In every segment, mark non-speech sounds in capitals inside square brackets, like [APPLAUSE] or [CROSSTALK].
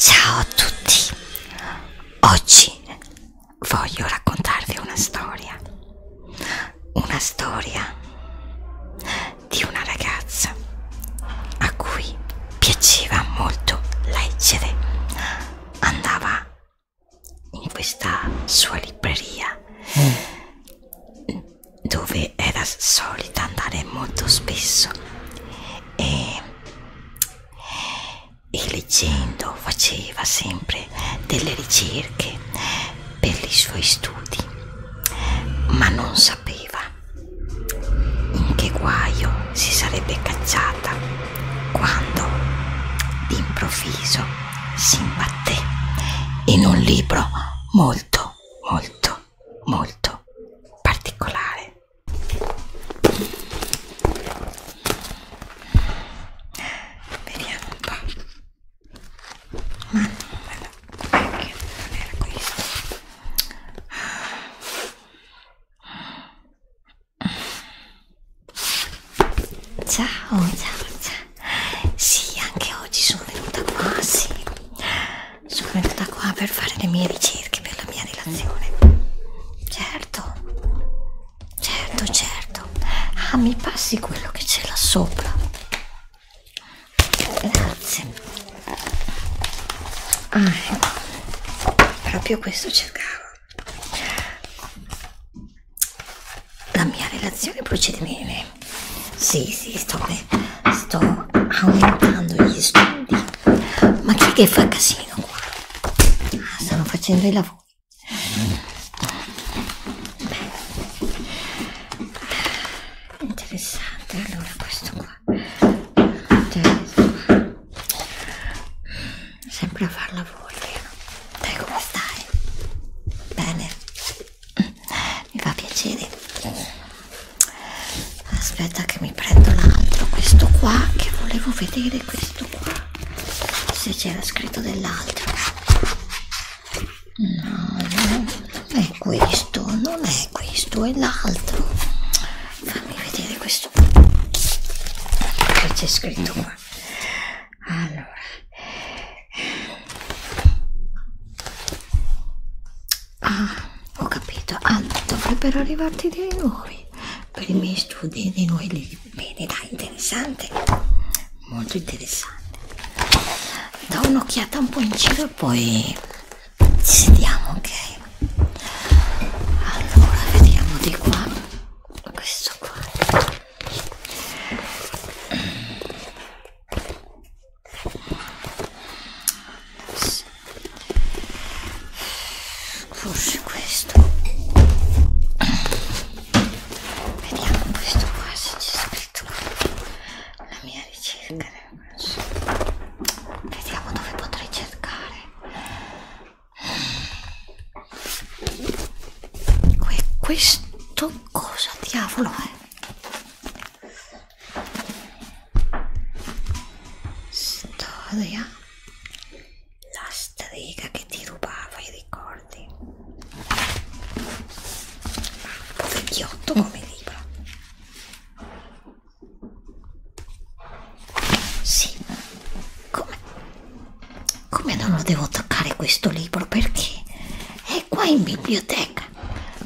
Ciao a tutti, oggi voglio raccontarvi una storia, una storia di una ragazza a cui piaceva molto leggere, andava in questa sua libreria mm. dove era solita andare molto spesso e, e leggendo faceva sempre delle ricerche per i suoi studi ma non sapeva in che guaio si sarebbe cacciata quando d'improvviso si imbatté in un libro molto molto molto particolare vediamo un po' ma non era questo Ciao, ciao, ciao. Sì, anche oggi sono venuta qua, sì. Sono venuta qua per fare le mie ricerche per la mia relazione. Certo. Certo, certo. Ah, mi passi quello che c'è là sopra. Grazie. Ah, ecco. Proprio questo cercavo. La mia relazione procede bene. Sì, sì, sto, sto aumentando gli studi. Ma chi è che fa casino qua? Ah, stanno facendo i lavori. Beh. Interessante, allora questo qua cioè, sempre a farla volere dai come stai? bene mi fa piacere aspetta che mi prendo l'altro questo qua che volevo vedere questo qua se c'era scritto dell'altro no, no, non è questo, non è è eh, questo è l'altro fammi vedere questo che c'è scritto qua allora ah ho capito allora ah, dovrebbero arrivarti dei nuovi per i miei studi dei nuovi libri bene dai interessante molto interessante da un'occhiata un po' in giro e poi ci sediamo ok allora vediamo di qua questo qua sì. forse questo vediamo questo qua se c'è scritto qua la mia ricerca sì. Vediamo dove potrei cercare. Que questo cosa diavolo è? Storia. La strega che ti rubava i ricordi. Un po' vecchiotto come libro. Sì, come, come non lo devo toccare questo libro? Perché è qua in biblioteca.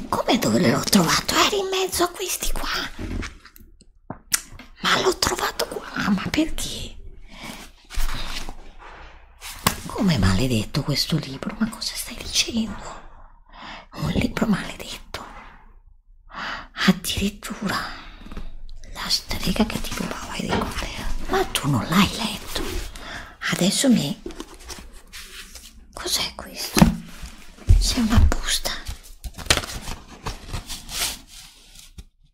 Come dove l'ho trovato? Era in mezzo a questi qua. Ma l'ho trovato qua, ma perché? Come maledetto questo libro? Ma cosa stai dicendo? Un libro maledetto. Addirittura la strega che ti rubava i ricordi, eh. ma tu non l'hai letto. Adesso mi... Cos'è questo? C'è una busta.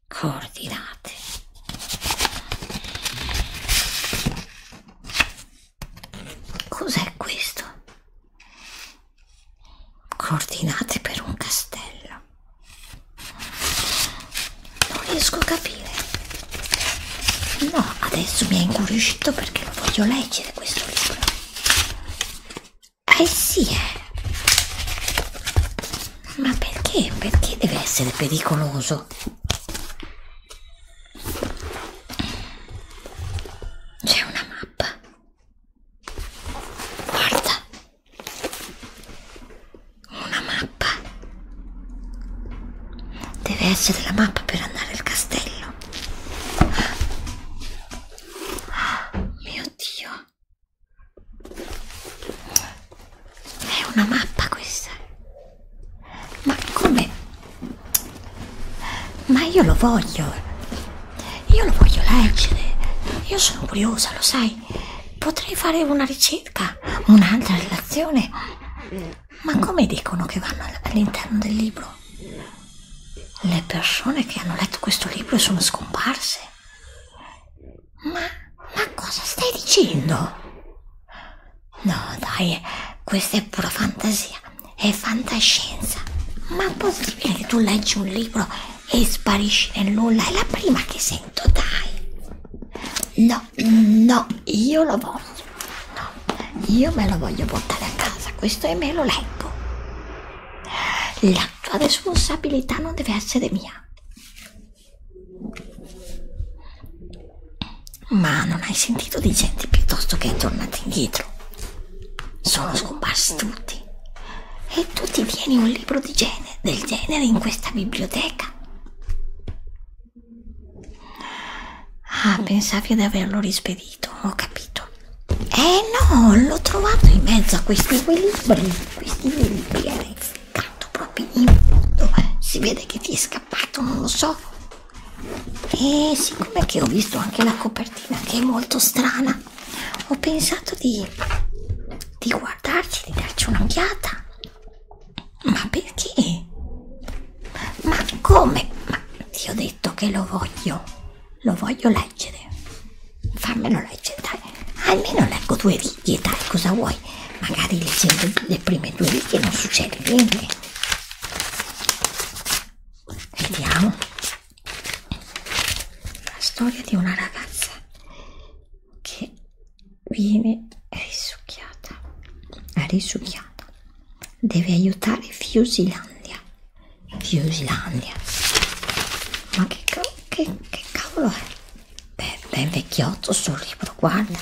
Coordinate. Cos'è questo? coordinate per un castello non riesco a capire no adesso mi ha incuriosito perché lo voglio leggere questo libro eh sì eh ma perché perché deve essere pericoloso c'è una mappa Guarda! Una mappa! Deve essere la mappa per andare al castello. Ah, mio Dio! È una mappa questa! Ma come? Ma io lo voglio. Io lo voglio leggere. Io sono curiosa, lo sai. Potrei fare una ricerca, un'altra relazione. Ma come dicono che vanno all'interno del libro? Le persone che hanno letto questo libro sono scomparse. Ma, ma cosa stai dicendo? No, dai, questa è pura fantasia è fantascienza. Ma possibile che tu leggi un libro e sparisci nel nulla? È la prima che sento, dai. No, no, io lo voglio. No, io me lo voglio portare a casa. Questo e me lo leggo. La tua responsabilità non deve essere mia. Ma non hai sentito di gente piuttosto che è tornata indietro? sono scomparsi tutti e tu ti vieni un libro di genere, del genere in questa biblioteca? Ah, pensavi ad averlo rispedito, ho capito. Eh no, l'ho trovato in mezzo a questi due libri, questi due libri era eh. inficcato proprio in fondo, eh. si vede che ti è scappato, non lo so. E siccome che ho visto anche la copertina, copertina che è molto strana ho pensato di, di guardarci di darci un'occhiata ma perché? ma come? ma ti ho detto che lo voglio lo voglio leggere fammelo leggere dai almeno leggo due righe dai cosa vuoi magari leggendo le prime due righe non succede niente vediamo la storia di una ragazza che viene risucchiata, risucchiata, deve aiutare Fiusilandia, Fiusilandia, ma che, che, che cavolo è? Beh, ben vecchiotto sul libro, guarda,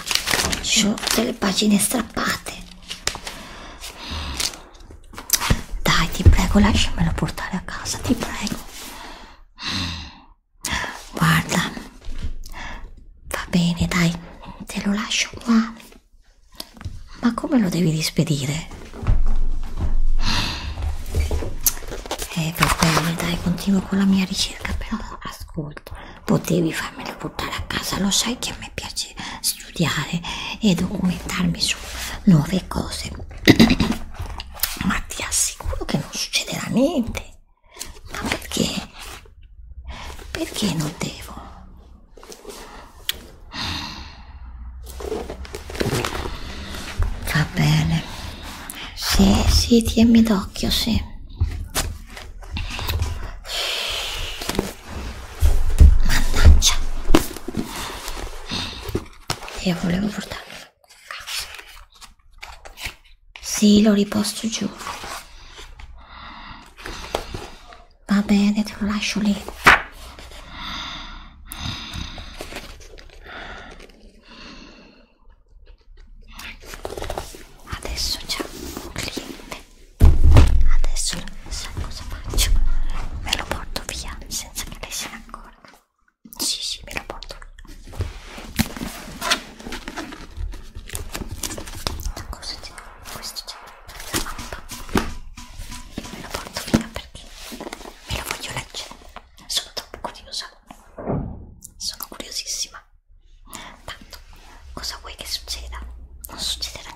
ci sono tutte le pagine strappate. Dai, ti prego, lasciamelo portare a casa, ti prego. Guarda, va bene, dai, te lo lascio qua. Ma come lo devi rispedire? Eh, va bene, dai, continuo con la mia ricerca, però ascolta, potevi farmelo portare a casa, lo sai che a me piace studiare e documentarmi su nuove cose [COUGHS] ma ti assicuro che non succederà niente ma perché perché non devo va bene sì sì tienimi d'occhio sì Mannaggia. Io volevo portarlo. Sì, lo riposto giù. Va bene, te lo lascio lì. Adesso c'è un cliente Adesso non so cosa faccio. Me lo porto via senza che lei se ne accorga. Sì, sì, me lo porto via. Cosa c'è? Questo c'è. La mappa. Io me lo porto via perché me lo voglio leggere. Sono troppo curiosa. Sono curiosissima. Tanto, cosa vuoi che succeda? Non succederà